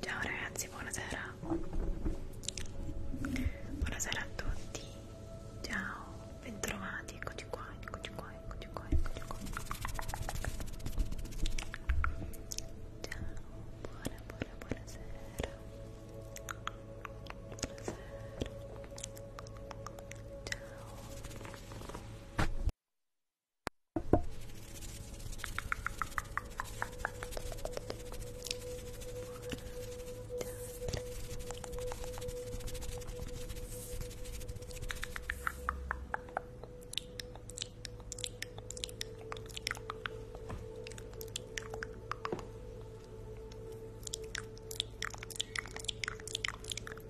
Ciao ragazzi, buonasera. Buonasera a tutti. Ciao, bentrovati. Eccoci qua, eccoci qua, eccoci qua, eccoci qua. Ciao, buona, buona, buonasera. Buonasera. Ciao.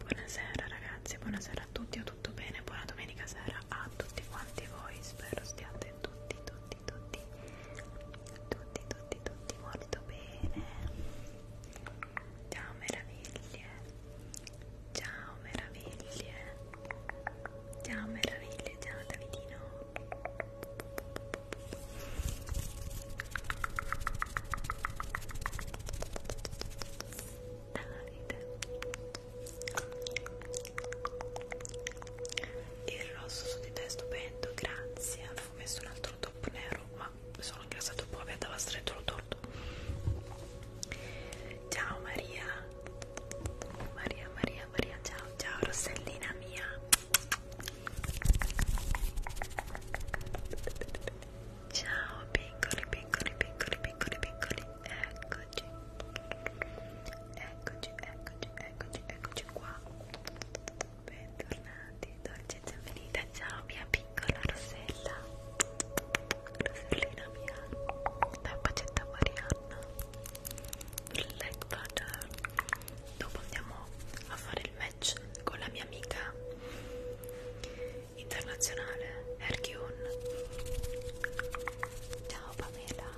Buonasera ragazzi, buonasera a tutti, a tutto bene, buona domenica sera a tutti quanti voi, spero stiate tutti tutti tutti tutti tutti tutti tutti molto bene ciao meraviglie ciao meraviglie ciao meraviglie ciao Davidino Davide ah, il rosso su di te è stupendo grazie avevo messo un altro top nero ma sono ingrassato un po' mi andava stretto lo torto ciao Maria Maria Maria Maria ciao ciao Rossellina mia ciao piccoli piccoli piccoli piccoli piccoli eccoci Eccoci, eccoci, eccoci, eccoci qua. Bentornati, dolce e benvenuta. Ciao mia piccola Rosella. Rosellina mia. La pacetta Marianna. Black butter. Dopo andiamo a fare il match con la mia amica internazionale Erkion. Ciao Pamela.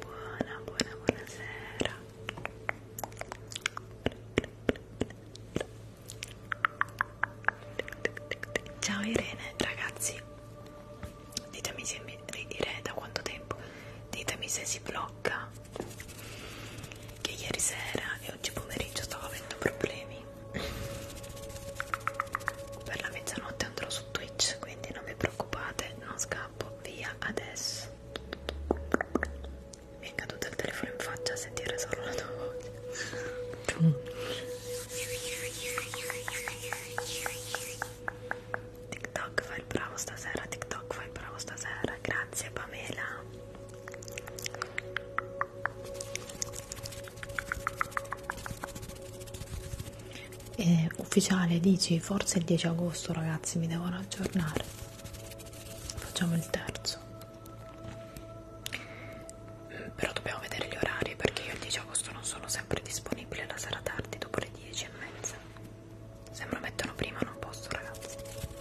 Buona, buona, buonasera. Ciao Irene, ragazzi. Ditemi se mi Irene da quanto tempo? Ditemi se si blocca che ieri sera e oggi pomeriggio stavo avendo problemi per la mezzanotte andrò su Twitch quindi non vi preoccupate non scappo via adesso mi è caduto il telefono in faccia a sentire solo la tua voce TikTok fai il bravo stasera TikTok fai il bravo stasera grazie Pamela eh, ufficiale dici forse il 10 agosto ragazzi mi devono aggiornare facciamo il terzo però dobbiamo vedere gli orari perché io il 10 agosto non sono sempre disponibile la sera tardi dopo le 10 e mezza se me lo mettono prima non posso ragazzi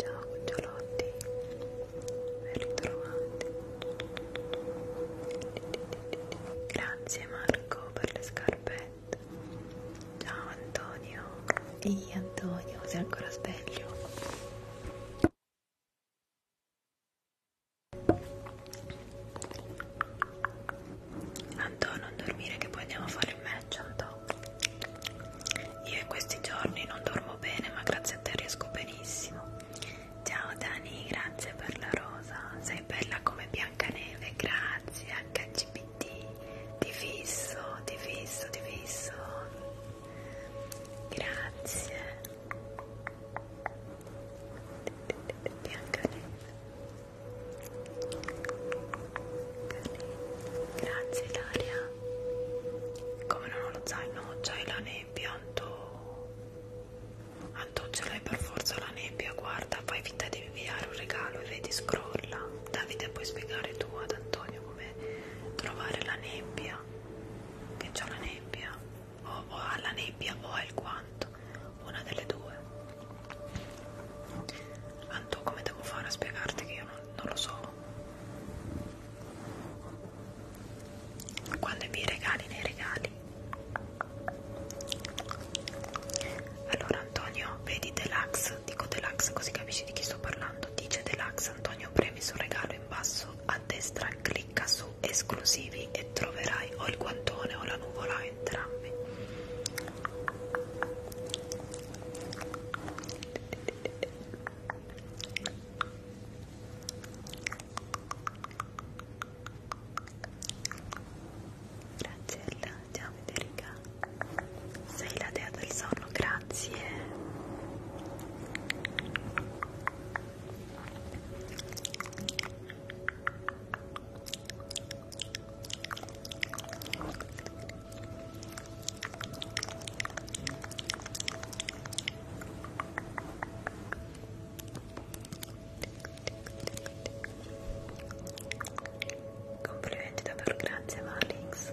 Ciao cucciolotti, ben ritrovati. Grazie Marco per le scarpette. Ciao Antonio. Ehi Antonio, sei ancora sveglio? Anto non dormire che poi andiamo a fare il match Anto Io in questi giorni non dormo bene ma grazie a te riesco benissimo Ciao Dani grazie per la rosa Sei bella come Biancaneve grazie HCPT Ti fisso ti fisso ti fisso Grazie Biancaneve Grazie Ilaria. Come non ho lo zaino, c'hai la nebbia, Anto. Anto ce l'hai per forza la nebbia, guarda, fai finta di inviare un regalo e vedi scrolla. Davide puoi spiegare tu ad Antonio come trovare la nebbia. Che c'ho la nebbia. O, o ha la nebbia o ha il guanto una delle due Anto come devo fare a spiegarti che io non, non lo so quando mi regali nei regali allora Antonio vedi Deluxe dico Deluxe così capisci di chi sto parlando dice Deluxe Antonio premi sul regalo in basso a destra clicca su esclusivi occhi e troverai o il guantone o la nuvola o entrambi Grazie Ella, ciao Federica Sei la dea del sonno, grazie Complimenti davvero, grazie Marlings.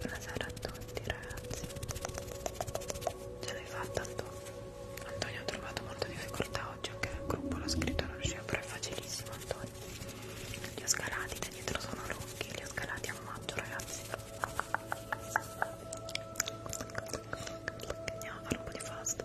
Buonasera a tutti ragazzi Ce l'hai fatta Antonio? Antonio ha trovato molta difficoltà oggi anche nel gruppo l'ha scritto non riusciva però è facilissimo Antonio Li ho scalati da dietro sono rocchi Li ho scalati a maggio ragazzi Andiamo a fare un po' di fast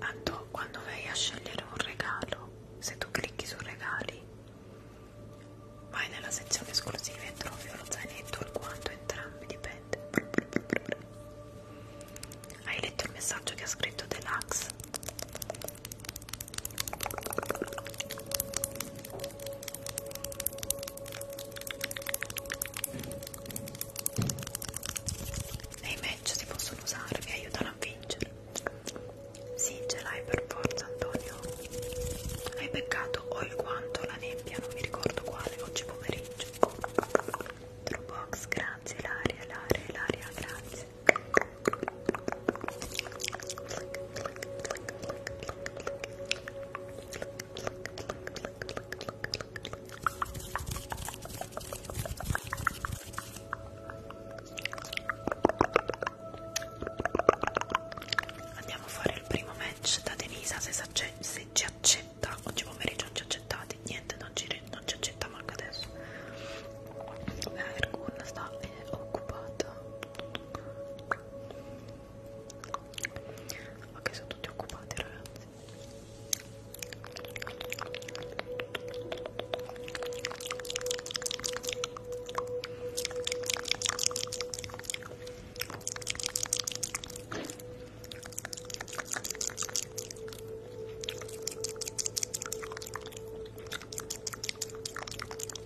Anto, quando vai a scegliere un regalo, se tu clicchi su regali, vai nella sezione esclusiva e trovi lo zainetto, il quanto, entrambi, dipende. Hai letto il messaggio che ha scritto Deluxe? Nei match si possono usare, mi aiutano a vincere. Sì, ce l'hai per forza, Antonio. Hai beccato o il guanto o la nebbia, non mi ricordo quale, oggi pomeriggio. Trubox, grazie, l'aria, l'aria, l'aria, grazie. Andiamo a fare il primo match da Denisa se, se ci accetta. Oggi pomeriggio non ci accettate, niente, non ci, non ci accetta manco adesso. Ergun sta eh, occupata ok sono tutti occupati ragazzi ok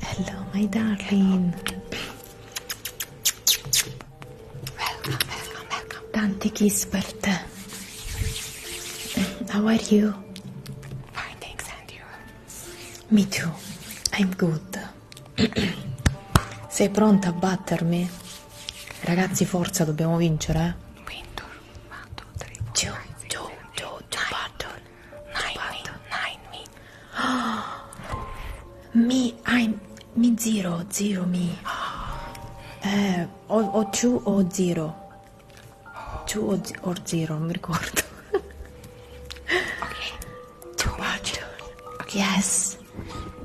Hello, my darling. Welcome, welcome, welcome. Dante Gisbert. How are you? Fine, thanks, and you? Me too. I'm good. Sei pronta a battermi? Ragazzi, forza, dobbiamo vincere, eh? Giù, giù, giù, giù, battle. Nine me, nine me. Mi, I'm, mi zero, zero me. Eh, o, o giù o zero. Giù o, o zero, non mi ricordo. ok, too much. Okay. Yes.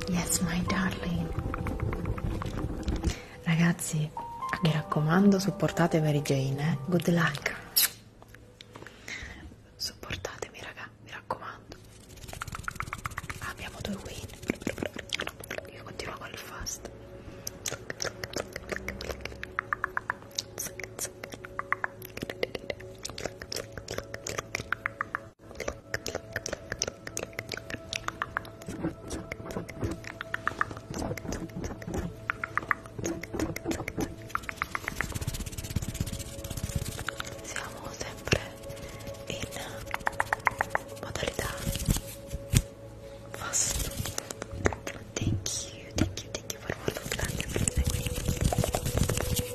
Yes, my darling. Ragazzi, mi raccomando, supportate Mary Jane, eh? Good luck. Supportatemi, raga, mi raccomando. Abbiamo due win. Io continuo con il fast. Siamo sempre in modalità fast. Thank you, thank you, thank you for following. Grazie per seguirmi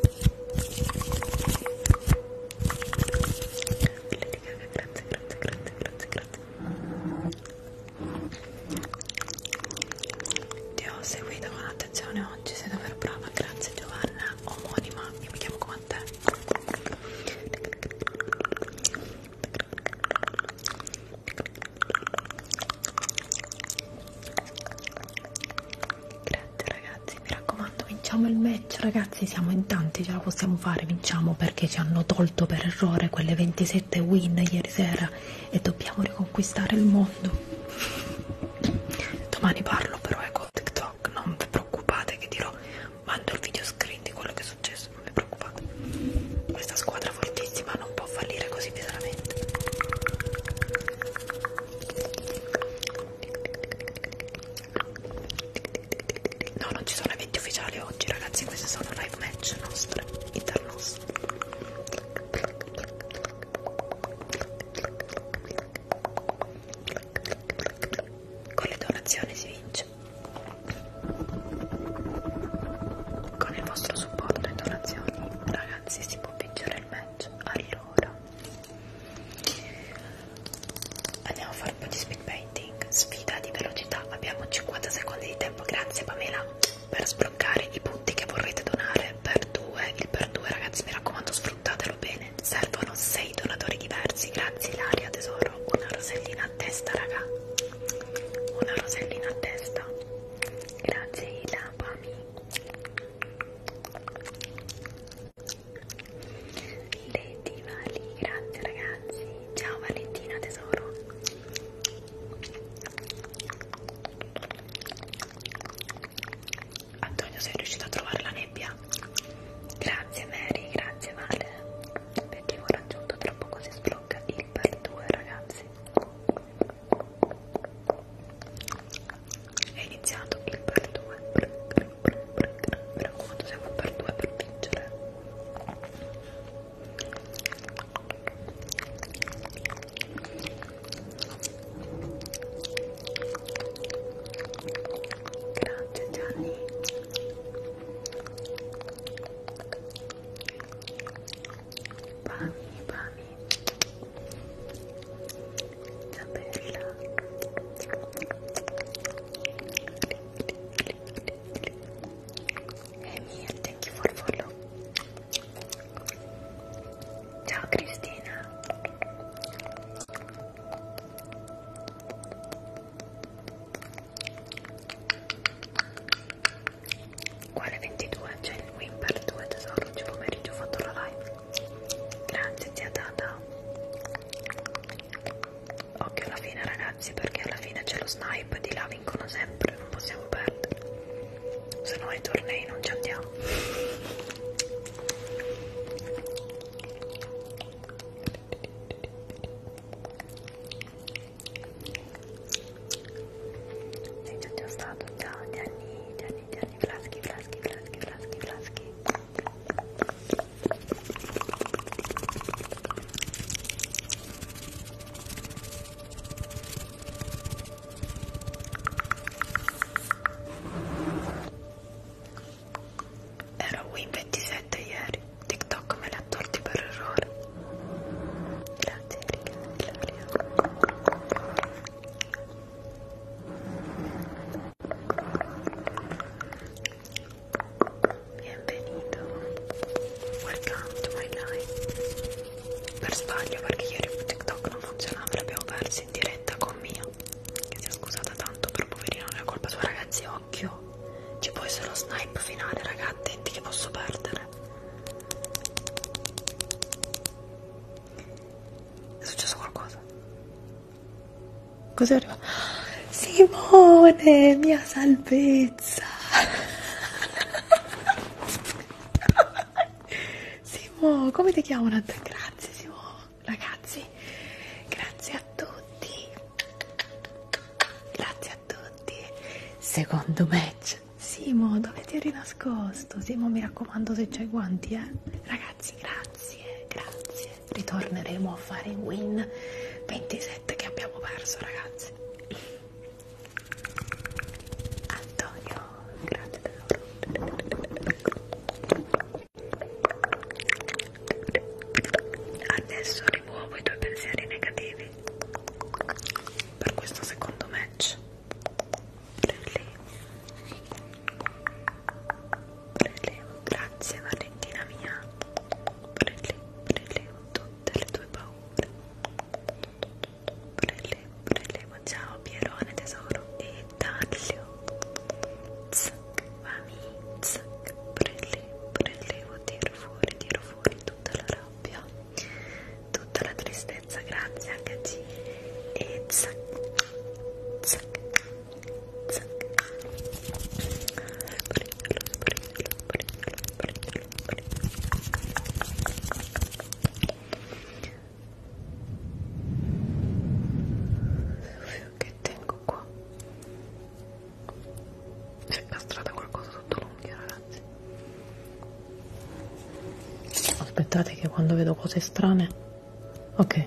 grazie, grazie, grazie, grazie, grazie. Ti ho seguito con attenzione oggi, sei davvero brava, grazie Giovanna, omonima, io mi chiamo come te. Grazie, match ragazzi mi raccomando vinciamo il match ragazzi siamo in tanti ce la possiamo fare vinciamo perché ci hanno tolto per errore quelle 27 win ieri sera e dobbiamo riconquistare il mondo domani parlo però ecco TikTok non vi preoccupate che dirò mando il video screen di quello che è successo non vi preoccupate questa squadra fortissima non può fallire così pesantemente No, non ci sono eventi ufficiali oggi, ragazzi. Queste sono live match nostre, internos. Con le donazioni si vince. Con il vostro supporto e donazioni, ragazzi, si può vincere il match. Allora, Andiamo a fare un po' di speed painting. Sfida di velocità. Abbiamo 50 secondi di tempo. Grazie Pamela per sbloccare i punti che vorrete donare per due. Il per due, ragazzi, mi raccomando, sfruttatelo bene. Servono 6 donatori diversi. Grazie Ilaria, tesoro. Una rosellina a testa, raga. Una rosellina a testa. Grazie Ila, Pami. Lady Vali, grazie ragazzi. Ciao Valentina tesoro. Antonio, sei riuscito a trovare la nebbia? Grazie Mary, grazie Vale. L'obiettivo raggiunto, tra poco si sblocca il per 2 ragazzi. È iniziato il per 2. Mi raccomando, siamo per due per vincere. Grazie Gianni. Pami, pami. Isabella e mi thank you for follow ciao Cristina quale 22 c'è il win per 2 tesoro oggi pomeriggio ho fatto la live grazie zia Tata Occhio alla fine ragazzi perché alla fine c'è lo snipe di là vincono sempre, non possiamo perdere. Se no ai tornei non ci andiamo. Sei già stato? Ciao Gianni, Gianni, Gianni, Flaschi, Flaschi, Flaschi, Flaschi, Flaschi. Era Win27 ieri, TikTok me l'ha tolti per errore. Grazie Erika, Ilaria. Benvenuto. Welcome to my life. Per sbaglio perché ieri TikTok non funzionava, l'abbiamo perso in diretta con Mia. Che si è scusata tanto, però poverina non è colpa sua ragazzi, occhio. Ci può essere lo snipe finale, ragazzi, attenti che posso perdere. È successo qualcosa? Così arriva. Simone, mia salvezza. Simo, come ti chiamano? Grazie Simo, ragazzi. Grazie a tutti. Grazie a tutti. Secondo match. Simo, dove ti eri nascosto? Simo, mi raccomando se c'hai guanti, eh. Ragazzi, grazie, grazie ritorneremo a fare win 27 che abbiamo perso ragazzi Antonio grazie davvero adesso rimuovo i tuoi pensieri negativi per questo secondo match lì prelevo, grazie Valentina mia, prelevo, prelevo tutte le tue paure, prelevo, prelevo, ciao Pierone tesoro e Dario, zac, mami, zac, prelevo, prelevo, tiro fuori, tiro fuori tutta la rabbia, tutta la tristezza, grazie HG e zac, zac, che tengo qua si è castrata qualcosa sotto l'unghia ragazzi aspettate che quando vedo cose strane ok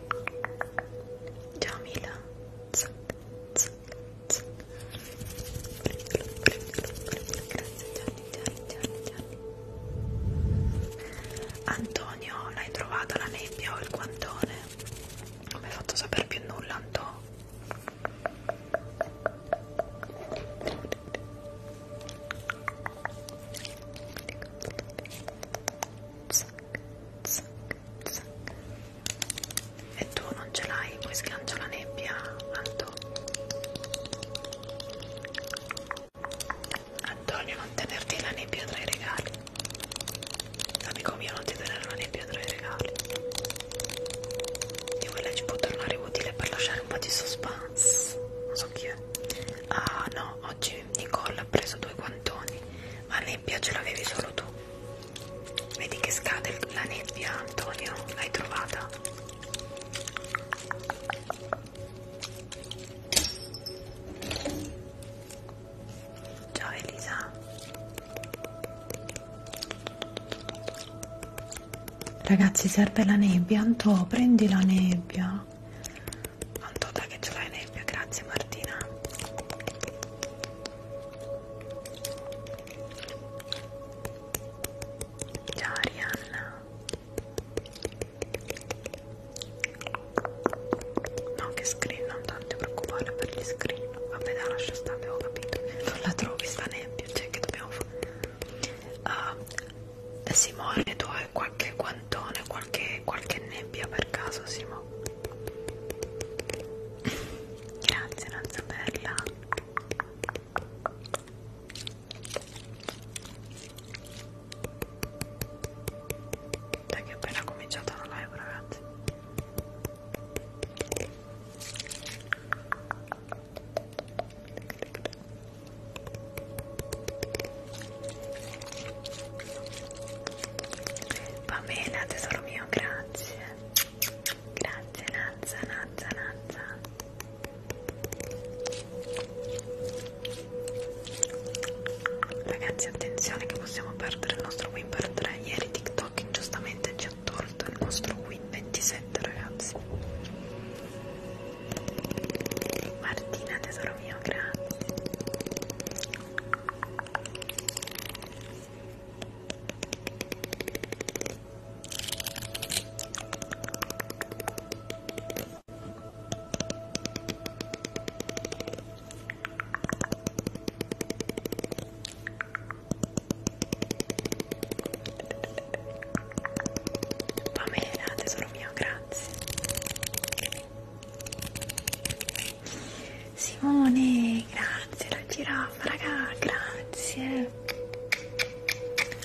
Ciao Mila. Zac, zac, zac. Prendilo, prendilo, prendilo. Grazie Gianni, Gianni, Gianni, Gianni. Antonio, l'hai trovata la nebbia o il guantone? Non mi hai fatto sapere più nulla, Antonio. Zac, zac, zac, zac. e tu non ce l'hai poi sgancia la nebbia Anto Antonio non tenerti la nebbia tra i regali amico mio non ti tenere la nebbia tra i regali di quella ci può tornare utile per lasciare un po' di suspense non so chi è ah no oggi piace Nicole ha preso due guantoni ma nebbia ce l'avevi solo tu vedi che scade la nebbia Antonio l'hai trovata ciao Elisa ragazzi serve la nebbia Anto prendi la nebbia quanto da che ce l'hai nebbia, grazie Martina. Ciao Arianna. No, che screen, non tanto preoccupare per gli screen. Vabbè, dai, lascia stare, avevo capito. Non la trovi sta nebbia, cioè che dobbiamo fare. Uh, ah, Simone, tu hai qualche guantone, qualche anche qualche nebbia per caso Simo grazie Nanza Bella dai che è appena cominciata la live ragazzi Va bene, tesoro mio, grazie. Grazie, Nazza, Nazza, Nazza. Ragazzi, attenzione che possiamo perdere il nostro win per 3. Ieri TikTok ingiustamente ci ha tolto il nostro win 27, ragazzi. Martina, tesoro mio, grazie. Va bene, Nate, sono mio, grazie. Simone, grazie la giraffa, raga, grazie.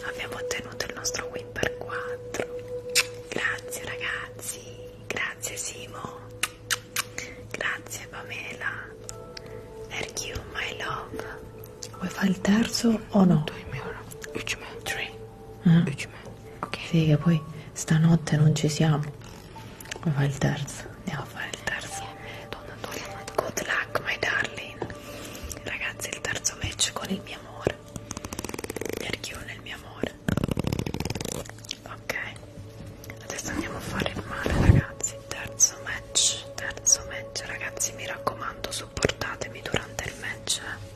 Abbiamo ottenuto il nostro win per 4. Grazie ragazzi, grazie Simo, grazie Pamela. Thank you, my love. Vuoi fare il terzo o no? 2 euro. 3. Eh? Okay. Sì, che poi stanotte non ci siamo. Ma fa il terzo. Andiamo a fare il terzo. Good luck, my darling. Ragazzi, il terzo match con il mio amore. Nerchione il mio amore. Ok. Adesso andiamo a fare il male, ragazzi. Terzo match. Terzo match, ragazzi, mi raccomando, supportatemi durante il match. Eh.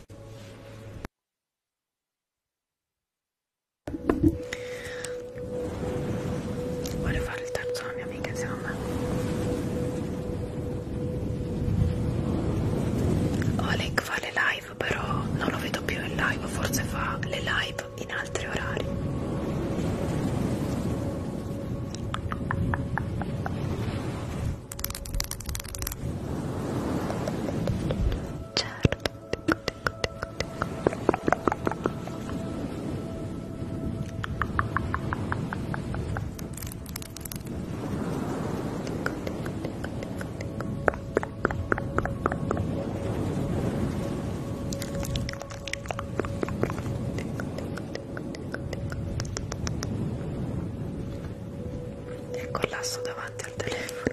Vuole fare il terzo alla mia amica insieme a me? Oleg fa le live, però non lo vedo più in live, forse fa le live in altri orari. Certo e collasso davanti al telefono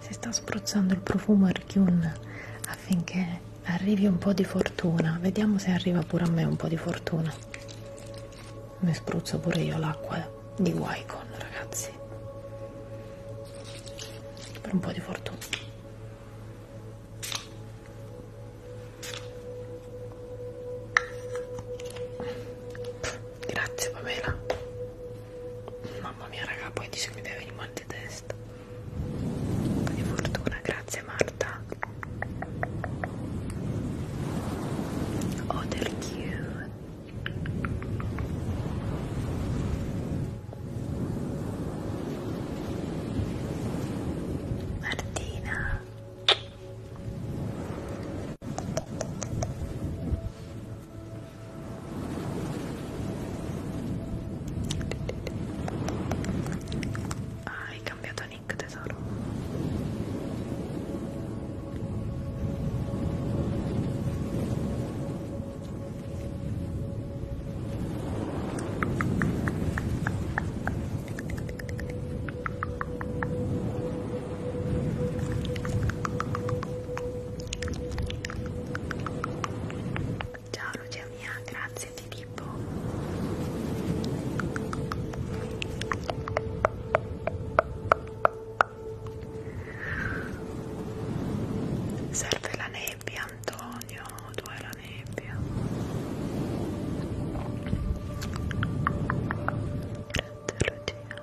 si sta spruzzando il profumo Erkyun affinché arrivi un po' di fortuna vediamo se arriva pure a me un po' di fortuna mi spruzzo pure io l'acqua di Wycon ragazzi per un po' di fortuna Pff, Grazie Pamela. Mamma mia raga, poi dice mi deve venire mal di testa. Di fortuna, grazie Marta. Other oh, cute. Martina. Ah, hai cambiato nick tesoro. Ciao Lucia mia, grazie Filippo. Serve la nebbia Antonio, tu hai la nebbia. Grazie Lucia.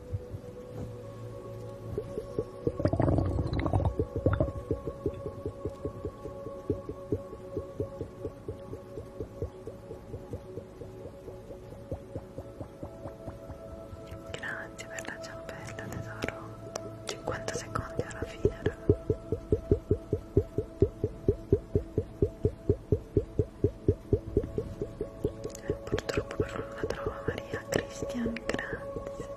Grazie per la ciambella tesoro. 50 secondi alla fine. Raga. Purtroppo però non la trova Maria Cristian, grazie.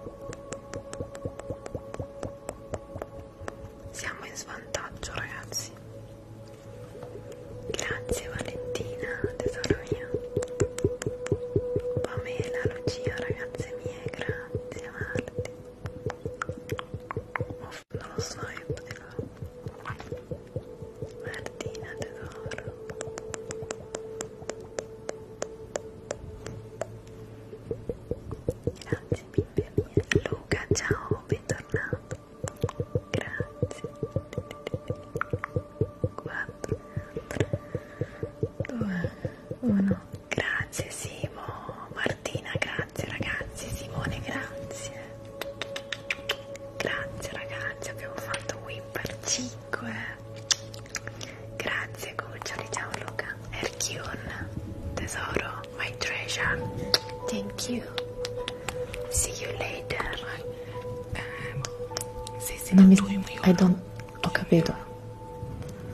Siamo in svantaggio ragazzi. Grazie Valentina, tesoro mio. Pamela, Lucia, ragazze mie, grazie Marti. Oh, non lo so, io potevo. Martina tesoro Grazie mille Luca ciao bentornato Grazie 4 2 1 Grazie Simo Martina grazie ragazzi Simone grazie Grazie ragazzi, abbiamo fatto win per 5. Grazie cuccioli, ciao Luca. Erkion, tesoro, my treasure. Thank you. See you later. Um, se seni mi... I don't... Ho capito.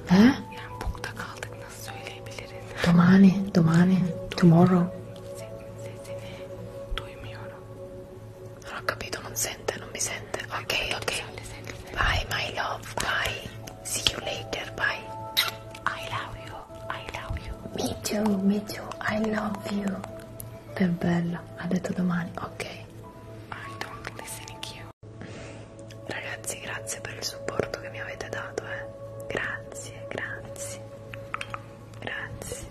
Eh? Punta kaldık, nasıl söyleyebiliriz? Domani, domani, tomorrow. Seni duymuyorum. Non ho capito, non sente, non mi sente. Ok, ok. Bye my love, bye. See you later, bye. I love you, I love you. Me too, me too, I love you. È bella, ha detto domani, ok. I don't listen to you. Ragazzi, grazie per il supporto che mi avete dato, eh. Grazie, grazie. Grazie.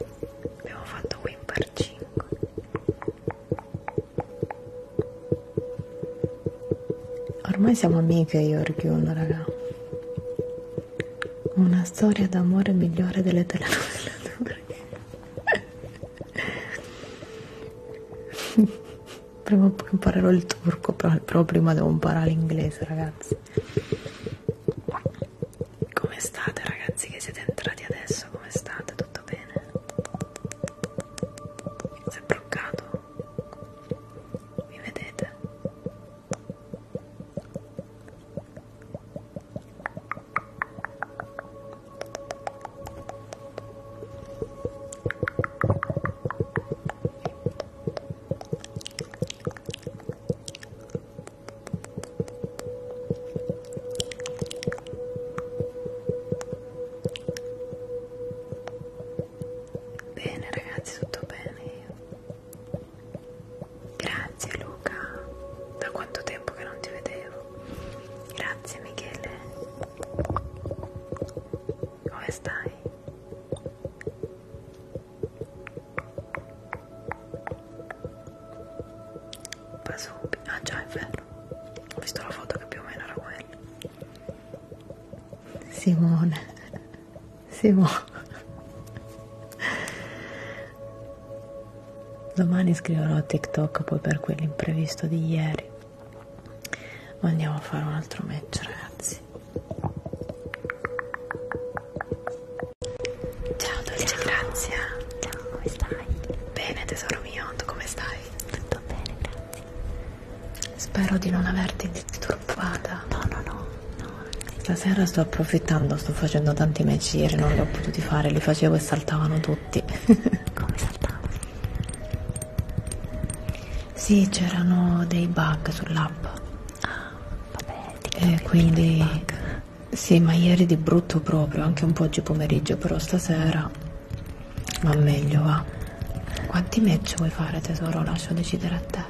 Abbiamo fatto Whimper 5 ormai siamo amiche io e Ryuno raga una storia d'amore migliore delle telenovela prima o poi imparerò il turco però prima devo imparare l'inglese ragazzi come state ragazzi che siete entrati adesso? Come state? Tutto bene? Si è bloccato? Mi vedete? Bene ragazzi, tutto bene. Grazie Luca, da quanto tempo che non ti vedevo. Grazie Michele. Come stai? ho preso ah già è vero ho visto la foto che più o meno era quella Simone Simone domani scriverò TikTok poi per quell'imprevisto di ieri andiamo a fare un altro match ragazzi Ciao dolce, grazie. Ciao, come stai? Bene tesoro mio, tu come stai? Tutto bene, grazie. Spero di non averti disturbata. No, no, no. no Stasera sto approfittando, sto facendo tanti match ieri, non li ho potuti fare, li facevo e saltavano tutti. come saltavano? Sì, c'erano dei bug sull'app. Ah, vabbè, ti E quindi sì, ma ieri di brutto proprio, anche un po' oggi pomeriggio, però stasera va meglio, va. Quanti match vuoi fare tesoro? Lascio decidere a te.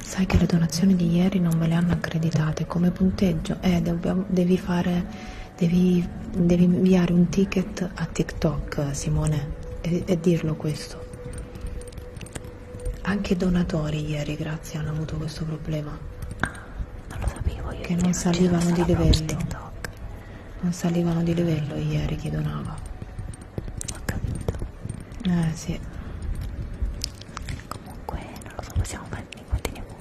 Sai che le donazioni di ieri non me le hanno accreditate come punteggio eh, dobbiamo, devi fare, devi, devi inviare un ticket a TikTok, Simone, e, e dirlo questo. Anche i donatori ieri, grazie, hanno avuto questo problema non lo sapevo io che non salivano di livello non salivano di livello ieri chi donava ho capito eh sì comunque non lo so possiamo fare ne continuiamo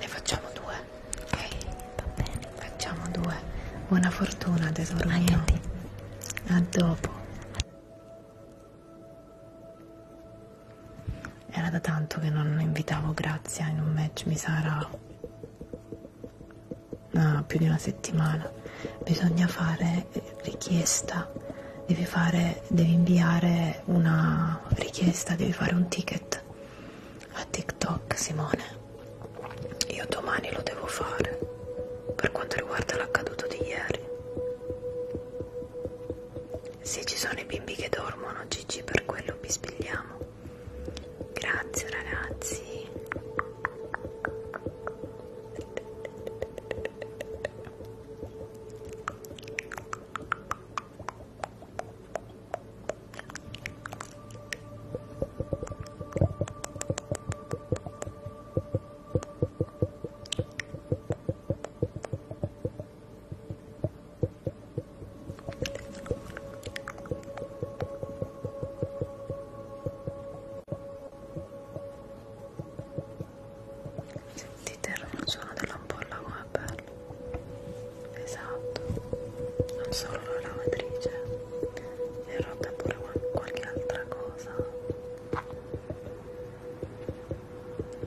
ne facciamo due ok va bene facciamo due buona fortuna tesoro Ai mio a, a dopo era da tanto che non invitavo Grazia in un match, mi sarà no, più di una settimana. Bisogna fare richiesta, devi, fare, devi inviare una richiesta, devi fare un ticket a TikTok, Simone. Io domani lo devo fare per quanto riguarda l'accaduto di ieri. Se ci sono i bimbi che dormono, Gigi, per quello bispigliamo. Grazie ragazzi. Sentite il suono dell'ampolla come è bello esatto non solo la lavatrice e rotta pure qualche altra cosa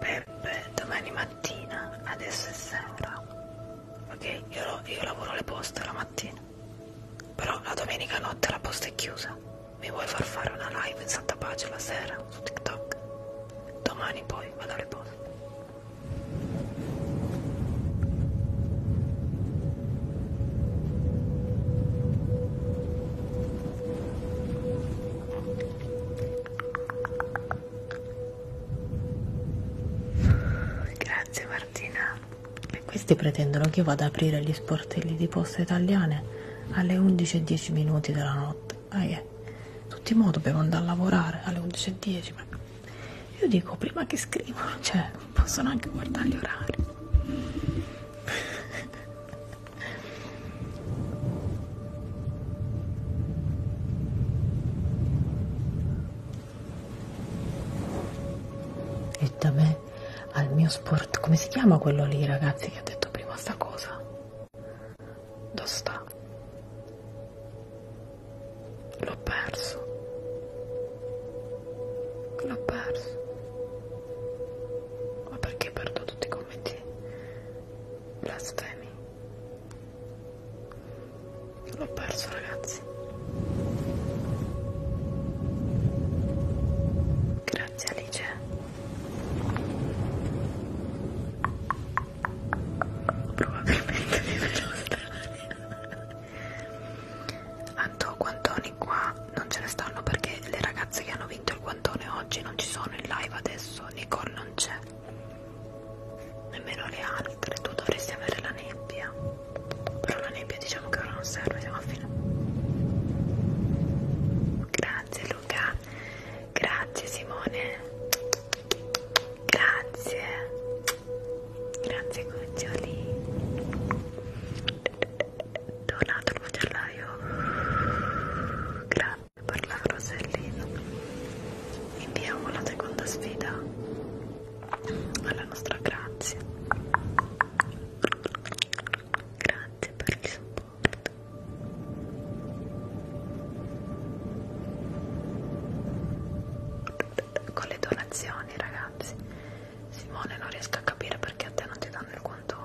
Peppe, domani mattina, adesso è sera. Ok, io, io lavoro le poste la mattina. Però la domenica notte la posta è chiusa. Mi vuoi far fare una live in Santa Pace la sera su TikTok? Domani poi vado alle poste. Grazie Martina. E questi pretendono che io vada ad aprire gli sportelli di poste italiane alle 11.10 minuti della notte. Ah, yeah. Tutti i modi dobbiamo andare a lavorare alle 11.10, ma io dico prima che scrivono, cioè possono anche guardare gli orari. E da me al mio sport, come si chiama quello lì ragazzi che ha detto prima sta cosa? Dove sta? L'ho perso l'ho perso ma perché perdo tutti i commenti blasfemi l'ho perso ragazzi grazie Alice probabilmente mi vedo strane Tanto guantoni qua non ce ne stanno perché le ragazze che hanno vinto il guantone oggi non ci sono in live adesso, Nicole non c'è, nemmeno le altre, tu dovresti avere la nebbia, però la nebbia diciamo che ora non serve, siamo a fine. Grazie Luca, grazie Simone, grazie. Grazie cuccioli. Donato il bugiardaio. Grazie per la Rosellina. Inviamo la seconda sfida alla nostra Grazia. Grazie per il supporto. Con le donazioni, ragazzi Simone non riesco a capire perché a te non ti danno il guantone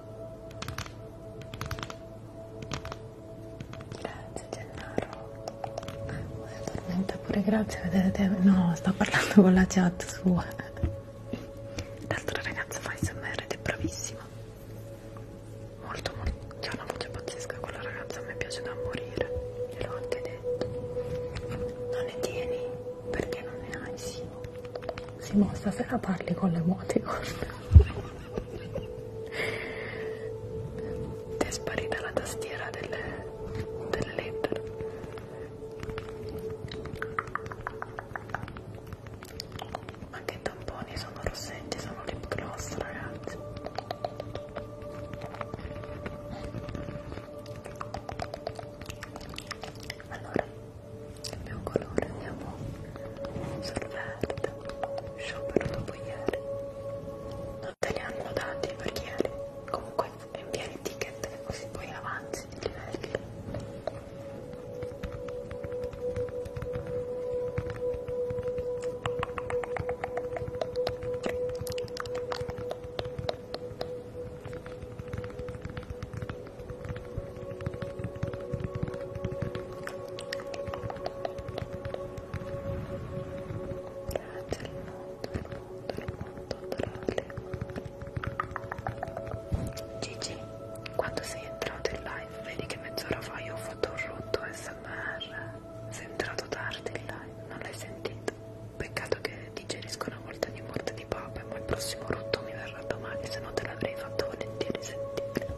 Grazie Gennaro. Eh, ah, addormenta pure, grazie, vedete? No, sto parlando con la chat sua. L'altra ragazza fa SMR ed è bravissima. Molto, molto. C'è una voce pazzesca quella ragazza, a me piace da morire. Gliel'ho anche detto. Non ne tieni? Perché non ne hai, sì. Simo, stasera parli con l'emoticon. Ti è sparita la tastiera delle, delle lettere. Ma che tamponi sono rossetti, sono lip gloss, ragazzi. Allora, il mio colore andiamo sul verde sciopero dopo ieri non te li hanno dati per ieri comunque invia il ticket così poi avanzi di livelli Grazie al mondo, al mondo, al mondo tra le mani. Gigi, quando sei entrato in live, vedi che mezz'ora fa io ho fatto un rotto SMR. Sei entrato tardi in live, non l'hai sentito. Peccato che digerisco una volta di morte di papa, ma il prossimo rotto mi verrà domani, se no te l'avrei fatto volentieri sentire.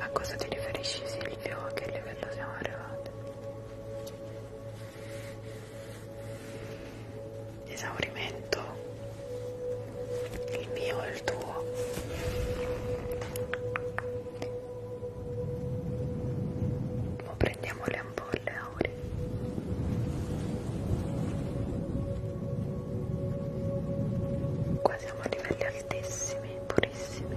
A cosa ti riferisci Silvio? A che livello siamo arrivati? esaurimento il mio e il tuo o prendiamo le ampolle Auri qua siamo a livelli altissimi purissimi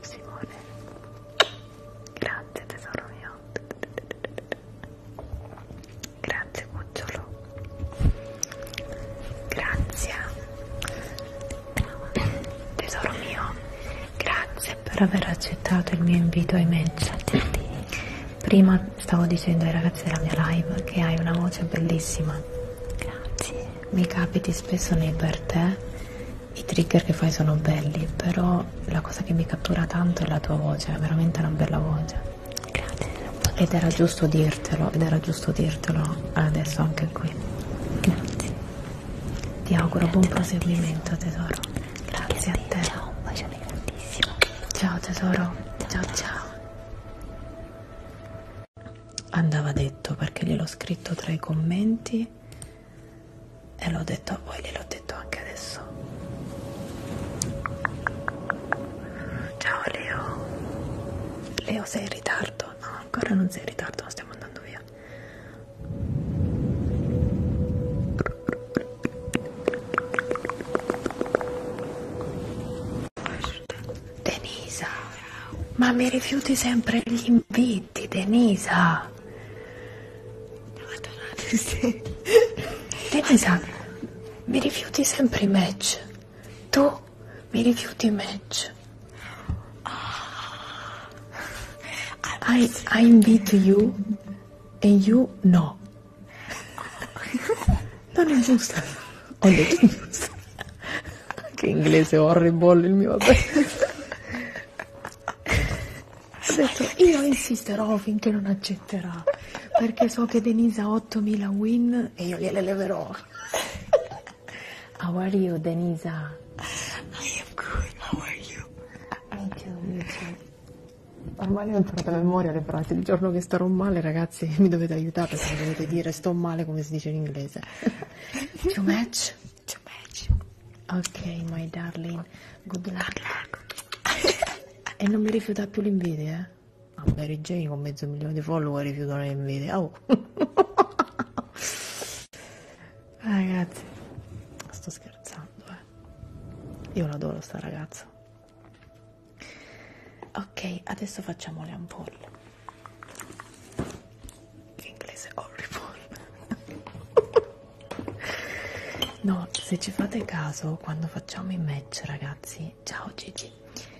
Simone grazie tesoro mio grazie cucciolo grazie tesoro mio grazie per aver accettato il mio invito ai match prima stavo dicendo ai ragazzi della mia live che hai una voce bellissima grazie mi capiti spesso nei per te, i trigger che fai sono belli, però la cosa che mi cattura tanto è la tua voce, è veramente una bella voce. Grazie. Ed era giusto dirtelo, ed era giusto dirtelo adesso anche qui. Grazie. Ti auguro Grazie buon proseguimento tantissimo. tesoro. Grazie a te. Ciao, un bacione grandissimo. Ciao tesoro. Ciao ciao. ciao andava detto perché gliel'ho scritto tra i commenti e l'ho detto a voi, gliel'ho detto anche adesso. Ciao Leo. Leo sei in ritardo? No, ancora non sei in ritardo, ma stiamo andando via. Denisa ma mi rifiuti sempre gli inviti, Denisa. Madonna, sì. Denisa, mi rifiuti sempre i match. Tu mi rifiuti i match. Oh. I, I invite you and you no. Non è giusto. Ho detto giusto. che inglese horrible il mio. Ho detto, io insisterò finché non accetterà, perché so che Denise ha 8000 win e io gliele leverò. How are you, Denisa? I am good, how are you? Me too, me too. Ormai ho imparato a memoria le frasi. Il giorno che starò male, ragazzi, mi dovete aiutare perché mi dovete dire sto male come si dice in inglese. Too much? Too much. Ok, my darling. Good luck. Good luck. e non mi rifiuta più l'invidia, eh? Ah, Mary Jane con mezzo milione di follower rifiutano l'invidia. Oh. Ragazzi, sto scherzando, eh. Io l'adoro sta ragazza. Ok, adesso facciamo le ampolle che inglese horrible no se ci fate caso quando facciamo i match ragazzi ciao Gigi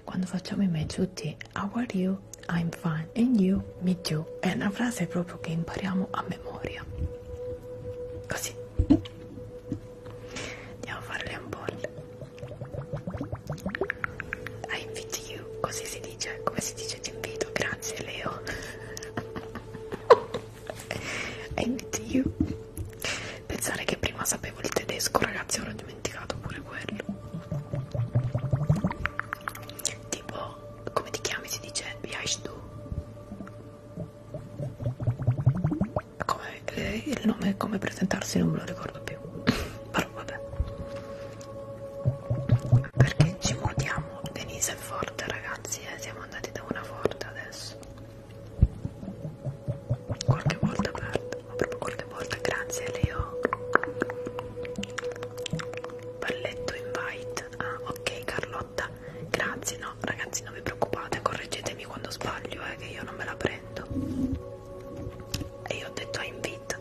quando facciamo i match tutti how are you I'm fine and you me too è una frase proprio che impariamo a memoria così andiamo a fare le ampolle i invite you, così si dice, come si dice ti invito, grazie Leo I invite you Pensare che prima sapevo il tedesco ragazzi, ora ho dimenticato pure quello Tipo, come ti chiami si dice, wie heißt du? Come, eh, il nome, come presentarsi non me lo ricordo più però vabbè perché ci mutiamo Denise è forte ragazzi eh? siamo andati da una forte adesso qualche volta aperta ma proprio qualche volta grazie Leo balletto invite ah ok Carlotta grazie no ragazzi non vi preoccupate correggetemi quando sbaglio eh, che io non me la prendo e io ho detto I invite,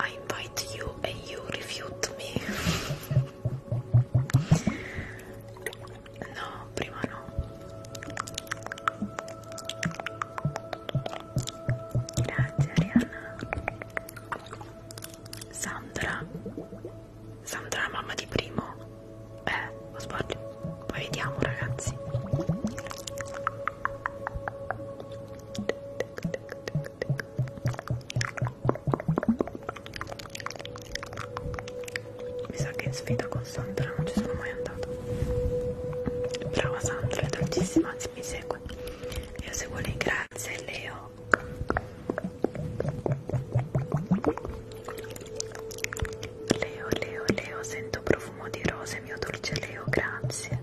I invite you e you refute me no, prima no grazie Arianna Sandra Sandra mamma di primo eh, lo sbaglio poi vediamo ragazzi mi sa che in sfida con Sandra non ci sono mai andato. Brava Sandra, è dolcissima, anzi mi segue. Io seguo lei, grazie Leo. Leo, Leo, Leo, sento profumo di rose, mio dolce Leo, grazie.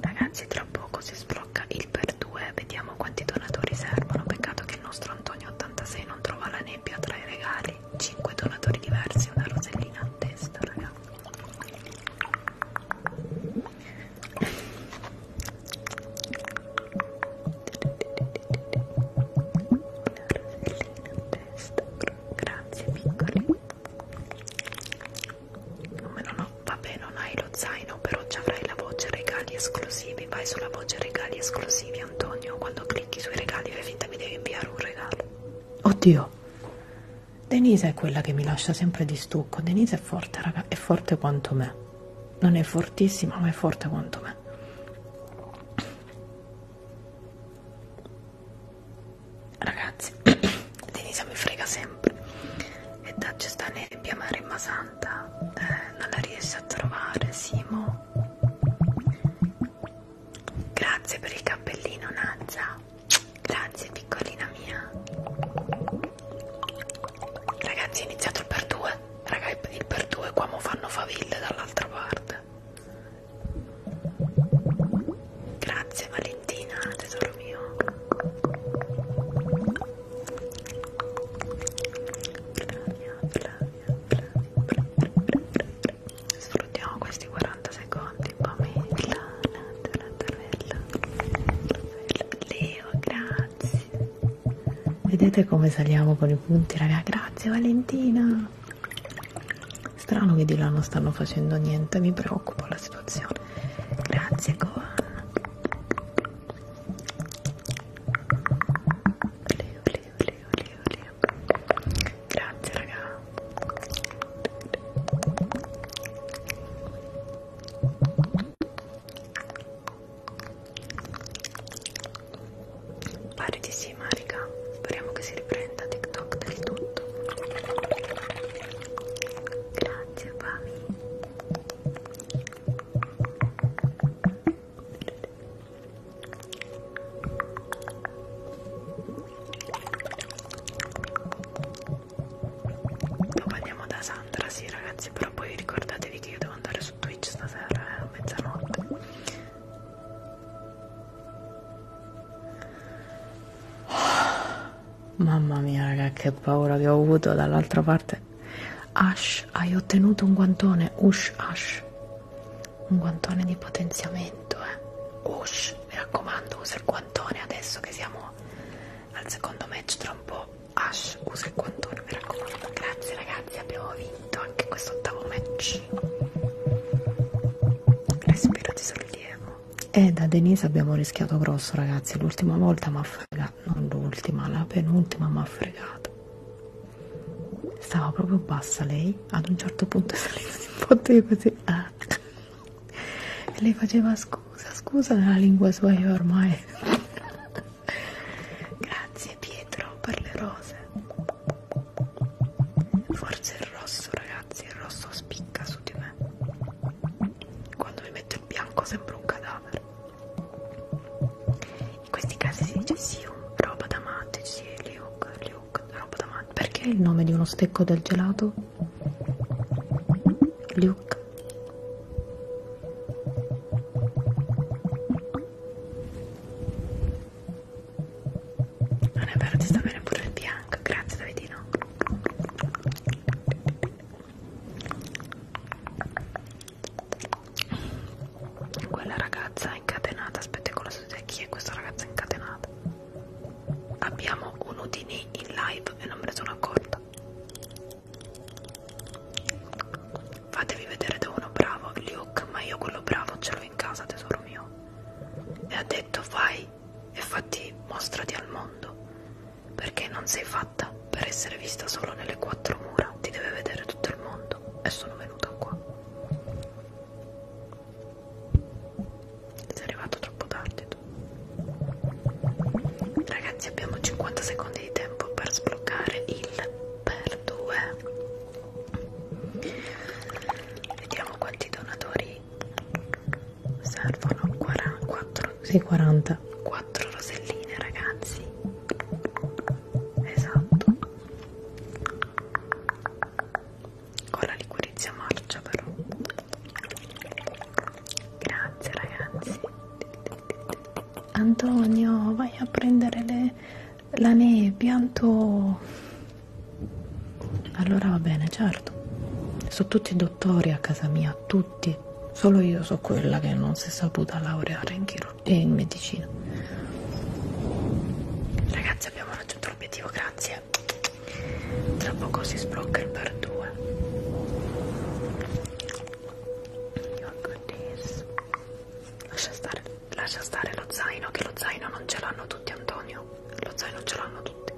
Ragazzi, tra poco si spara sblocca il per 2, vediamo quanti donatori servono, peccato che il nostro Antonio86 non trova la nebbia tra i regali, 5 donatori diversi, una rosellina a testa ragazzi. Una rosellina a testa, grazie piccoli numero 9 vabbè non hai lo zaino però ci avrai la voce regali esclusivi vai sulla voce regali esclusivi Antonio quando clicchi sui regali fai finta mi devi inviare un regalo oddio Denise è quella che mi lascia sempre di stucco Denise è forte raga è forte quanto me non è fortissima ma è forte quanto me Ragazzi, Denisa mi frega sempre e da sta nebbia mare ma santa eh, non la riesce a trovare Simo grazie per il cappellino Nazza grazie piccolina mia ragazzi è iniziato il per due raga il per due qua mo fanno faville dall'altra parte grazie Maria Bettina, tesoro mio Flavia, Flavia, Flavia Sfruttiamo questi 40 secondi Pamela, la Tarella Leo, grazie Vedete come saliamo con i punti, raga? Grazie Valentina Strano che di là non stanno facendo niente, mi preoccupa la situazione grazie Gohan Leo, Leo, Leo, Leo, Leo grazie raga pare di sì Marica speriamo che si riprenda TikTok del tutto grazie Pami Dopo andiamo da Sandra, sì ragazzi, però poi ricordatevi che io devo andare su Twitch stasera eh, a mezzanotte. Oh, Mamma mia, raga, che paura che ho avuto dall'altra parte. Ash, hai ottenuto un guantone. Ush, Ash. Un guantone di potenziamento, eh. Ush, mi raccomando, usa il guantone adesso che siamo al secondo match tra un po'. Ash, usa il guantone, mi raccomando. Grazie, ragazzi, abbiamo vinto anche quest'ottavo match. Respiro di sollievo. E eh, da Denise abbiamo rischiato grosso, ragazzi. L'ultima volta mi ha fregato, non l'ultima, la penultima mi ha fregato. Stava proprio bassa lei, ad un certo punto è salita di botto io così. Ah. E lei faceva scusa, scusa nella lingua sua io ormai. Grazie Pietro per le rose. Forse il rosso, ragazzi, il rosso spicca su di me quando mi metto il bianco sembro un cadavere in questi casi si dice sì, roba da matte sì, Luke, Luke, roba da matte perché il nome di uno stecco del gelato? Luke non è vero, ti sta bene pure il bianco, grazie Davidino quella ragazza incatenata, aspetta con la studia, chi è questa ragazza incatenata? Abbiamo un udini in live e non me ne sono accorta. Fatevi vedere da uno bravo, Luke, ma io quello bravo ce l'ho in casa, tesoro mio. E ha detto vai e fatti mostrati al mondo perché non sei fatta per essere vista solo nelle quattro mura, ti deve vedere tutto il mondo e sono venuta qua. Sei arrivato troppo tardi tu. Ragazzi abbiamo 50 secondi di tempo per sbloccare il per 2. Vediamo quanti donatori servono 44, sì, 44 roselline ragazzi esatto con la liquirizia marcia però grazie ragazzi Antonio vai a prendere le, la nebbia Anto allora va bene certo sono tutti dottori a casa mia tutti tutti, solo io so quella che non si è saputa laureare in chirurgia e in medicina. Ragazzi, abbiamo raggiunto l'obiettivo, grazie. Tra poco si sblocca il per due. Lascia stare, lascia stare lo zaino, che lo zaino non ce l'hanno tutti, Antonio. Lo zaino ce l'hanno tutti.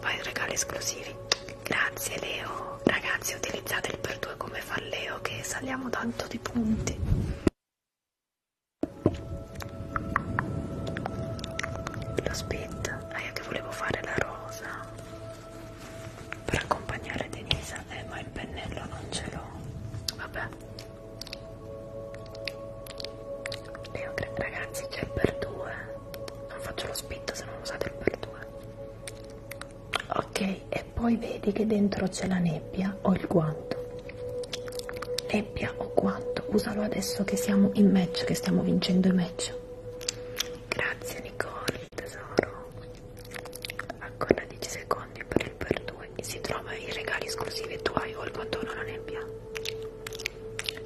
Vai, regali esclusivi. Grazie Leo, ragazzi utilizzate il per due come fa Leo che saliamo tanto di punti. Lo spit, ah io che volevo fare la rosa per accompagnare Denisa, eh ma il pennello non ce l'ho, vabbè. Leo, ragazzi c'è il per due, non faccio lo spit se non usate il per due ok e poi vedi che dentro c'è la nebbia o il guanto nebbia o guanto usalo adesso che siamo in match che stiamo vincendo i match grazie Nicole tesoro ancora 10 secondi per il per 2 si trova i regali esclusivi tuoi o il guantone o la nebbia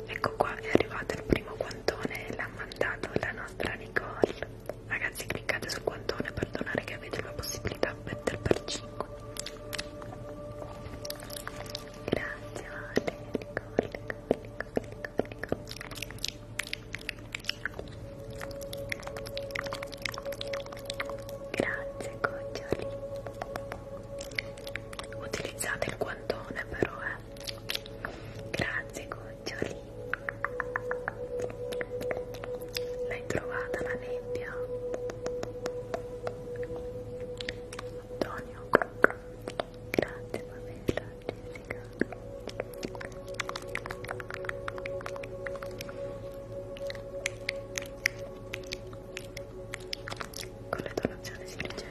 ecco qua è arrivato il primo guantone l'ha mandato la nostra Nicole Ragazzi cliccate sul guantone per donare che avete la possibilità del per 5 Grazie Alerico, Alerico, Alerico, Alerico, Alerico. Grazie Coccioli Utilizzate il guantone però eh Grazie cuccioli. L'hai trovata la nebbia? Antonio. Grazie Pamela, Jessica. Con le donazioni si riceve.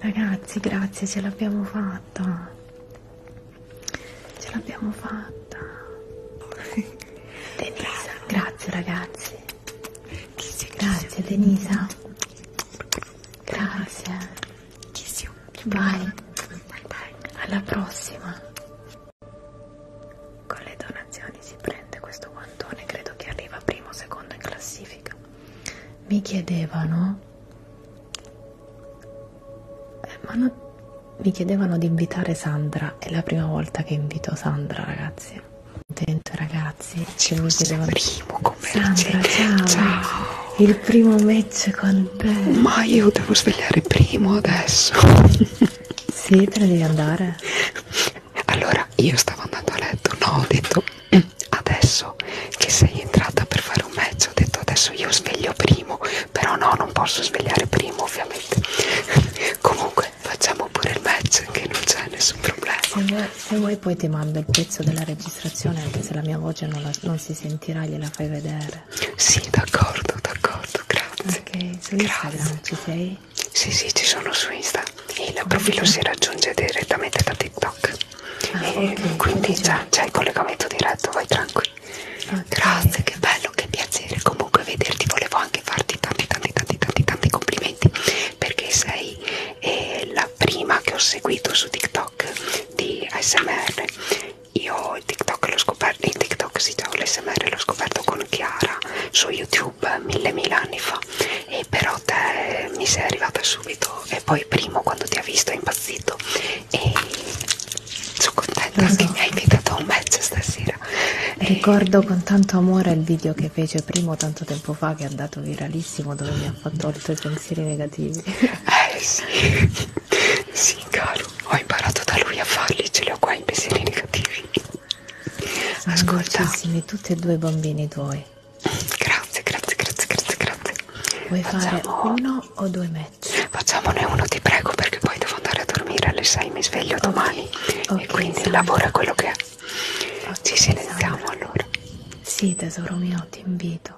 Ragazzi, grazie, ce l'abbiamo fatta. Ce l'abbiamo fatta. Denisa, grazie ragazzi. Grazie Denisa. Grazie. Bye. Alla prossima. Con le donazioni si prende questo guantone, credo che arriva primo o secondo in classifica. Mi chiedevano, eh, ma no, mi chiedevano di invitare Sandra, è la prima volta che invito Sandra ragazzi. Contento ragazzi, ci mi chiedevano... Primo Sandra, ciao. ciao! Il primo match con te! Ma io devo svegliare primo adesso! Sì, te ne devi andare. allora io stavo andando a letto no ho detto mm, adesso che sei entrata per fare un match ho detto adesso io sveglio primo però no non posso svegliare primo ovviamente comunque facciamo pure il match che non c'è nessun problema se vuoi, se vuoi poi ti mando il pezzo della registrazione anche se la mia voce non, la, non si sentirà gliela fai vedere sì d'accordo d'accordo grazie ok su Instagram ci sei? Sì, sì, ci sono su Insta. Il profilo si raggiunge direttamente da TikTok. Ah, e okay, quindi già c'è il collegamento diretto, vai tranquillo. Okay. Grazie, che bello, che piacere. Comunque vederti, volevo anche farti tanti, tanti, tanti, tanti, tanti complimenti perché sei eh, la prima che ho seguito su TikTok di ASMR. Io il TikTok l'ho scoperto, il TikTok sì, già l'ASMR l'ho scoperto con Chiara su YouTube mille mila anni fa e però te mi sei arrivata subito e poi primo quando ti ha visto è impazzito e sono contenta esatto. che mi hai invitato a un match stasera ricordo e... con tanto amore il video che fece primo tanto tempo fa che è andato viralissimo dove mi ha fatto i tuoi pensieri negativi eh sì sì caro ho imparato da lui a farli ce li ho qua i pensieri negativi Ascolta. Amicissimi, tutti e due i bambini tuoi. Grazie, grazie, grazie, grazie, grazie. Vuoi Facciamo... fare uno o due match? Facciamone uno, ti prego, perché poi devo andare a dormire alle 6, mi sveglio okay. domani. Okay, e quindi esame. lavora quello che è. Okay, Ci silenziamo esame. allora. Sì, tesoro mio, ti invito.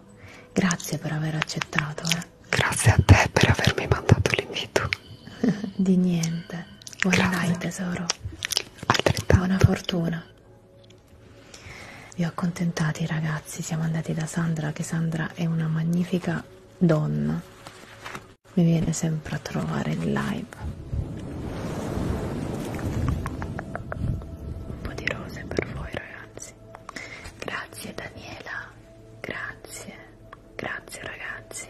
Grazie per aver accettato. Eh. Grazie a te per avermi mandato l'invito. Di niente. Buona night tesoro. Altrettanto. Buona fortuna. Vi ho accontentati ragazzi, siamo andati da Sandra, che Sandra è una magnifica donna. Mi viene sempre a trovare in live. Un po' di rose per voi ragazzi. Grazie Daniela, grazie, grazie ragazzi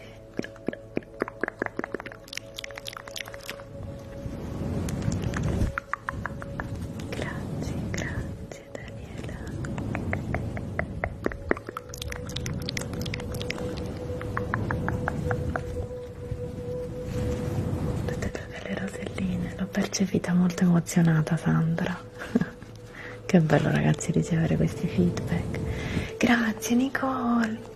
Grazie, grazie Daniela. Vedete delle roselline, l'ho percepita molto emozionata Sandra. che bello ragazzi ricevere questi feedback. Grazie Nicole.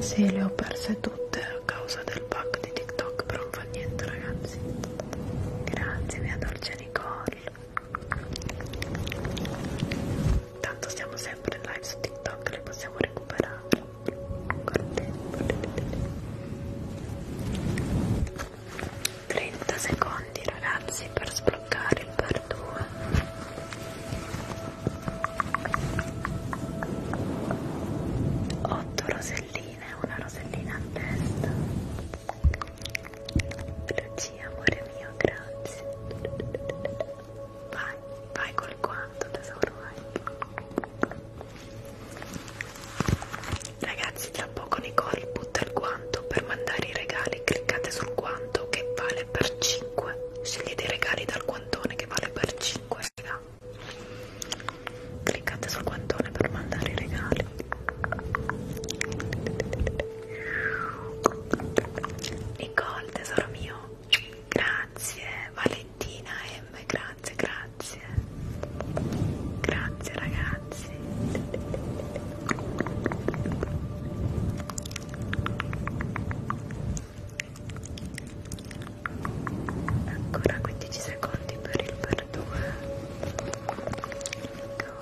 Sì, le ho perse tutte a causa del pack di TikTok, però non fa niente ragazzi. Grazie mia dolce Nicole. Tanto siamo sempre in live su TikTok, le possiamo recuperare. Guardate. 30 secondi ragazzi per sbloccare il per 2 8 roselline una rosellina a testa Lucia amore mio grazie vai vai col quanto tesoro vai Ragazzi, tra poco Nicole butta il guanto. Per mandare i regali cliccate sul guanto che vale per 5. Scegliete i regali dal guantone che vale per 5, raga. Cliccate sul guantone per mandare i regali. Nicole, tesoro mio, grazie. Valentina M, grazie, grazie grazie grazie ragazzi ancora 15 secondi per il perdono con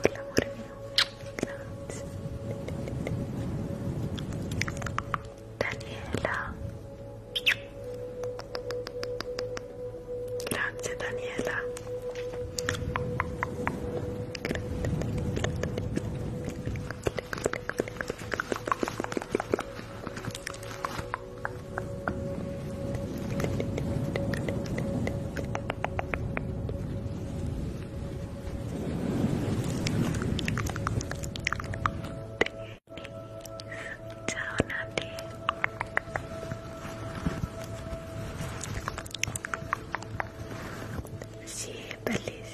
l'amore mio grazie Daniela Grazie Daniela. Ciao Nati. Sì, bellissima.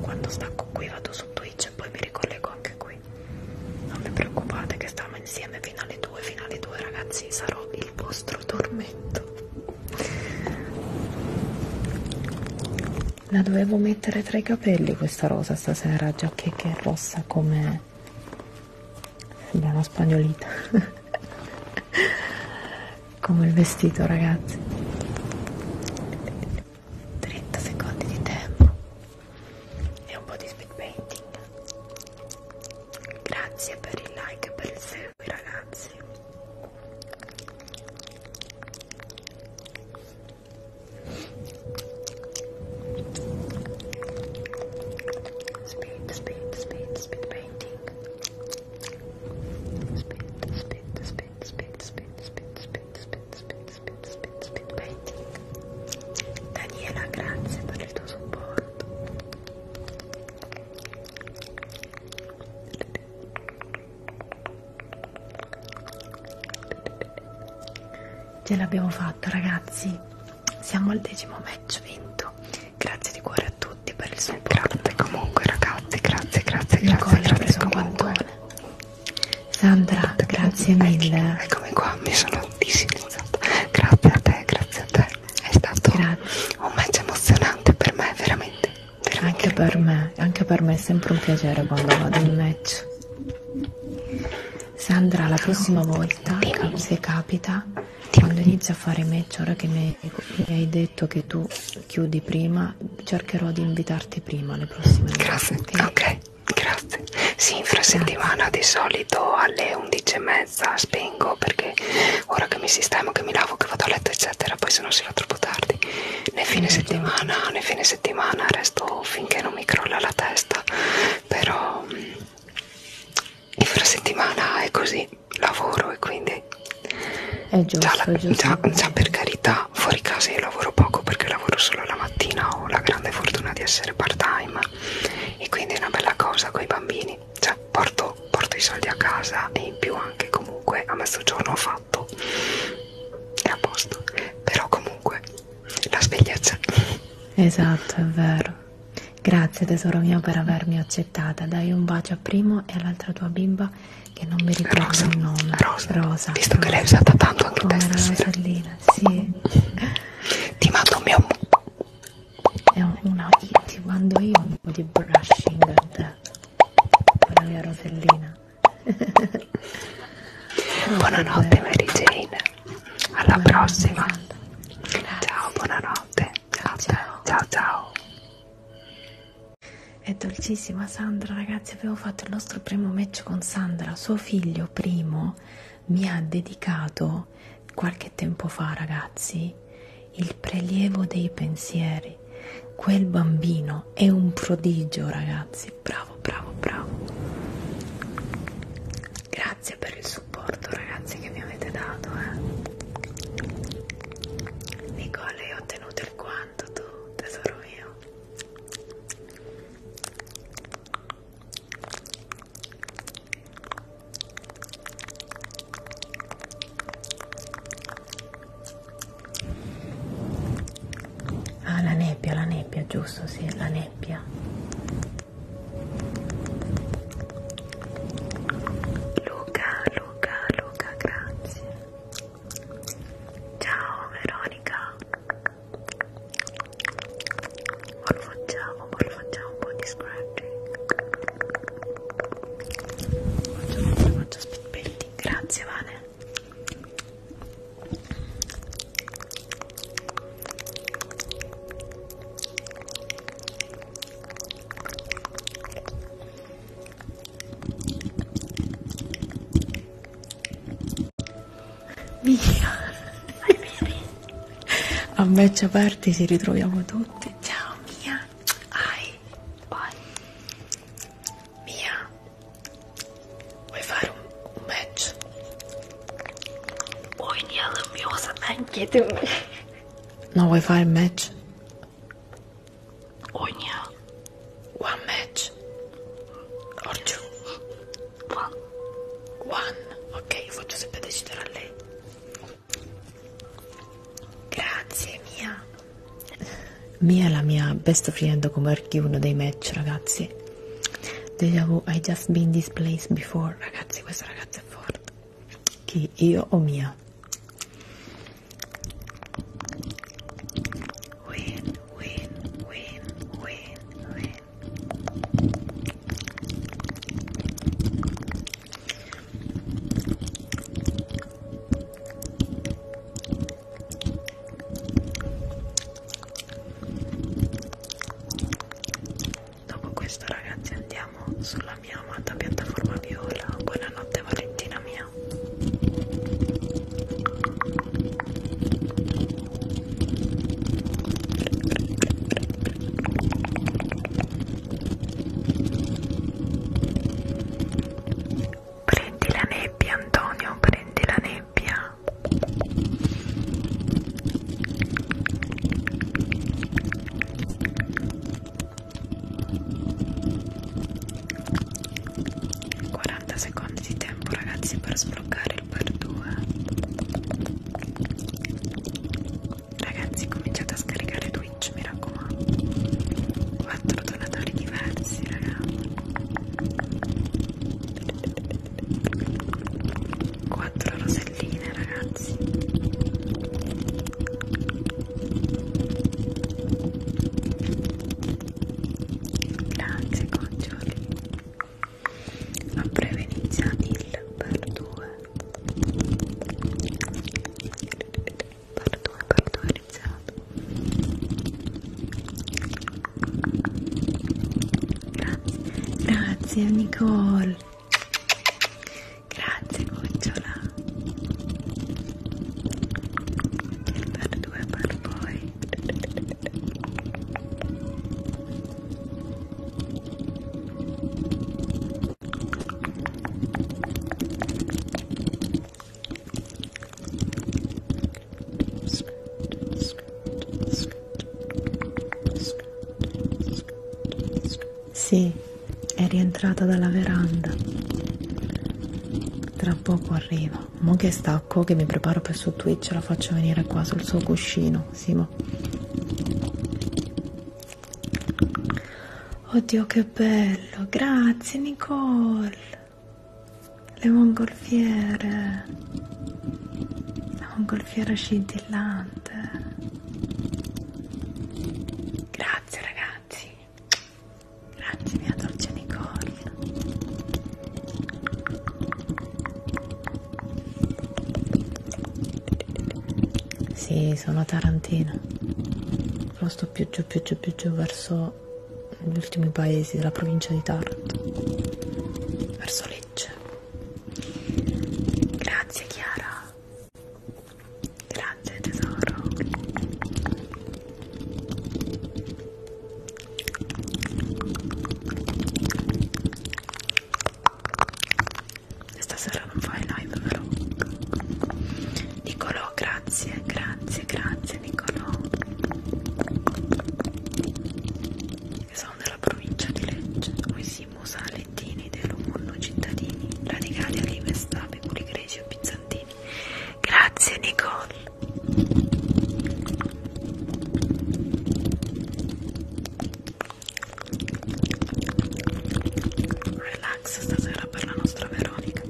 Quando stacco qui vado su Twitch e poi mi ricollego anche qui. Non vi preoccupate che stiamo insieme fino alle 2, fino alle 2 ragazzi, sarò il vostro tormento. La dovevo mettere tra i capelli questa rosa stasera, già che, che è rossa come... sembra una spagnolita. come il vestito ragazzi. 30 secondi di tempo e un po' di speed painting grazie per il like e per il segui ragazzi speed speed speed speed painting speed speed speed spit, spit, spit, spit, spit, spit, spit, spit, spit painting. Daniela, grazie per il tuo supporto. Ce l'abbiamo fatto ragazzi, siamo al decimo match vinto. Grazie di cuore a tutti per il supporto. Grazie comunque ragazzi, grazie, grazie, grazie, grazie, grazie, grazie comunque. Sandra, grazie mille. Eccomi qua, mi sono disilizzata. Grazie a te, grazie a te. È stato grazie. un match emozionante per me, veramente. veramente. Anche per me, anche per me è sempre un piacere quando vado in match. Sandra, la prossima volta, Dimmi. se capita, Dimmi. quando inizi a fare match, ora che mi, mi hai detto detto che tu chiudi prima, cercherò di invitarti prima le prossime volte. Grazie, ok, okay grazie. Sì, fra settimana di solito alle 11.30 spengo perché ora che mi sistemo, che mi lavo, che vado a letto eccetera, poi se no si fa troppo tardi. Nel fine settimana, nel fine settimana resto finché non mi crolla la testa, però infrasettimana mm, è così, lavoro e quindi... È giusto, già, la, è giusto. Già, già per carità realtà fuori casa io lavoro poco perché lavoro solo la mattina, ho la grande fortuna di essere part time e quindi è una bella cosa con i bambini, cioè porto, porto i soldi a casa e in più anche comunque a mezzogiorno ho fatto, è a posto, però comunque la sveglia c'è. Esatto, è vero. Grazie tesoro mio per avermi accettata, dai un bacio a Primo e all'altra tua bimba che non mi ricordo Rosa, il nome Rosa, Rosa visto Rosa. che l'hai usata tanto anche Come te stasera sì. ti mando un mio è una ti mando io un po' di brushing a te con la mia rosellina buonanotte Mary Jane alla buonanotte, prossima ciao buonanotte ciao ciao ciao, ciao. È dolcissima Sandra, ragazzi, avevo fatto il nostro primo match con Sandra, suo figlio primo mi ha dedicato qualche tempo fa, ragazzi, il prelievo dei pensieri. Quel bambino è un prodigio, ragazzi. Bravo, bravo, bravo. Grazie per il supporto, ragazzi, che mi avete dato, eh. Nicola, io ho tenuto il guanto tu, tesoro mio. Ah, la nebbia, la nebbia, giusto, sì, la nebbia. Luca, Luca, Luca, grazie. Ciao Veronica. Facciamo, facciamo un po' di scratching. Facciamo, faccio speed painting. Grazie Vane. Via. A match aperti ci ritroviamo tutti. Ciao Mia. Ai. Bye. Mia. Vuoi fare un, un match? Oynayalım yoksa ben yedim. No vuoi fare il match? ogni one match or two one one ok io faccio sempre decidere a lei grazie Mia Mia è la mia best friend come archi uno dei match ragazzi deja vu I just been this place before ragazzi questa ragazza è forte chi io o Mia Wait win, win, win, win. Dopo questo ragazzi andiamo sulla mia amata piattaforma viola. Buonanotte Valentina mia mia prendi la nebbia Antonio prendi la nebbia 40 secondi di tempo ragazzi per sbloccare il per 2 ragazzi cominciate a scaricare Twitch mi raccomando 4 donatori diversi ragazzi 4 roselline ragazzi Grazie Coccioli. A breve inizia il per 2. Per 2, per 2 è iniziato. Grazie, grazie Nicole. Grazie Gocciola. Il per 2 per poi. Sì, è rientrata dalla veranda. Tra poco arriva. Mo che sta pacco che mi preparo per su Twitch, la faccio venire qua sul suo cuscino, Simo. Oddio che bello, grazie Nicole. Le mongolfiere. La mongolfiera scintillante. Grazie ragazzi. Grazie mia dolce Nicole. Sì, sono Tarantina. Lo sto più giù, più giù, più giù verso gli ultimi paesi della provincia di Taranto. Verso Lecce. Grazie Chiara. Grazie tesoro. Stasera non fai live però Nicolò grazie, grazie, grazie Nicolò Sono della provincia di Lecce Noi siamo salettini dell'Umunno cittadini Radicali, Alive, Stapi, Puligreci e Pizzantini Grazie Nicole Relax stasera per la nostra Veronica.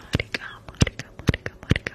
Marica, Marica, Marica, Marica.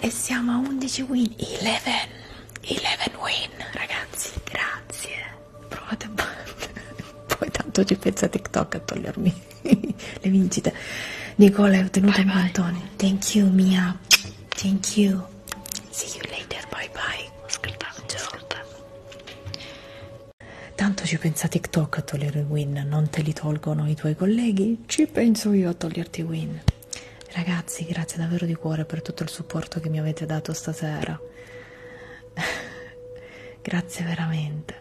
e siamo a 11 win 11 11 win ragazzi grazie provate a poi tanto ci pensa tiktok a togliermi le vincite Nicola è ottenuto un mattone thank you Mia thank you see you later bye bye ascolta, ascolta. tanto ci pensa tiktok a togliere il win non te li tolgono i tuoi colleghi ci, ci penso io a toglierti Win. Ragazzi, grazie davvero di cuore per tutto il supporto che mi avete dato stasera. grazie veramente.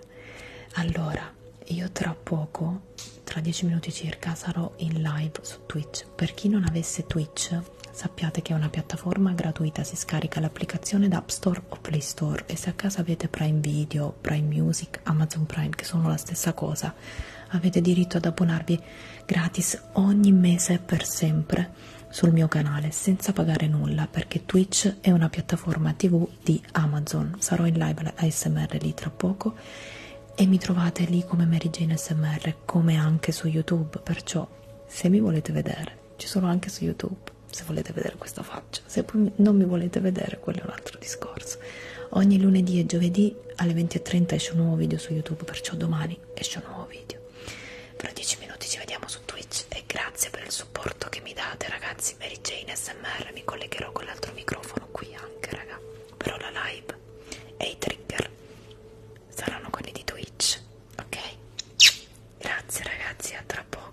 Allora, io tra poco, tra 10 minuti circa, sarò in live su Twitch. Per chi non avesse Twitch, sappiate che è una piattaforma gratuita, si scarica l'applicazione da App Store o Play Store e se a casa avete Prime Video, Prime Music, Amazon Prime, che sono la stessa cosa, vita. Avete diritto ad abbonarvi gratis ogni mese per sempre sul mio canale senza pagare nulla perché Twitch è una piattaforma TV di Amazon. Sarò in live ASMR lì tra poco e mi trovate lì come Mary Jane ASMR come anche su YouTube, perciò se mi volete vedere, ci sono anche su YouTube se volete vedere questa faccia, se non mi volete vedere però quello è un altro discorso. Ogni lunedì e giovedì alle 20.30 esce un nuovo video su YouTube, perciò domani esce un nuovo video. Fra 10 minuti ci vediamo su Twitch e grazie per il supporto che mi date ragazzi. Mary Jane SMR, mi collegherò con l'altro microfono qui anche raga, però la live e i trigger saranno quelli di Twitch, ok? Grazie ragazzi, a tra poco.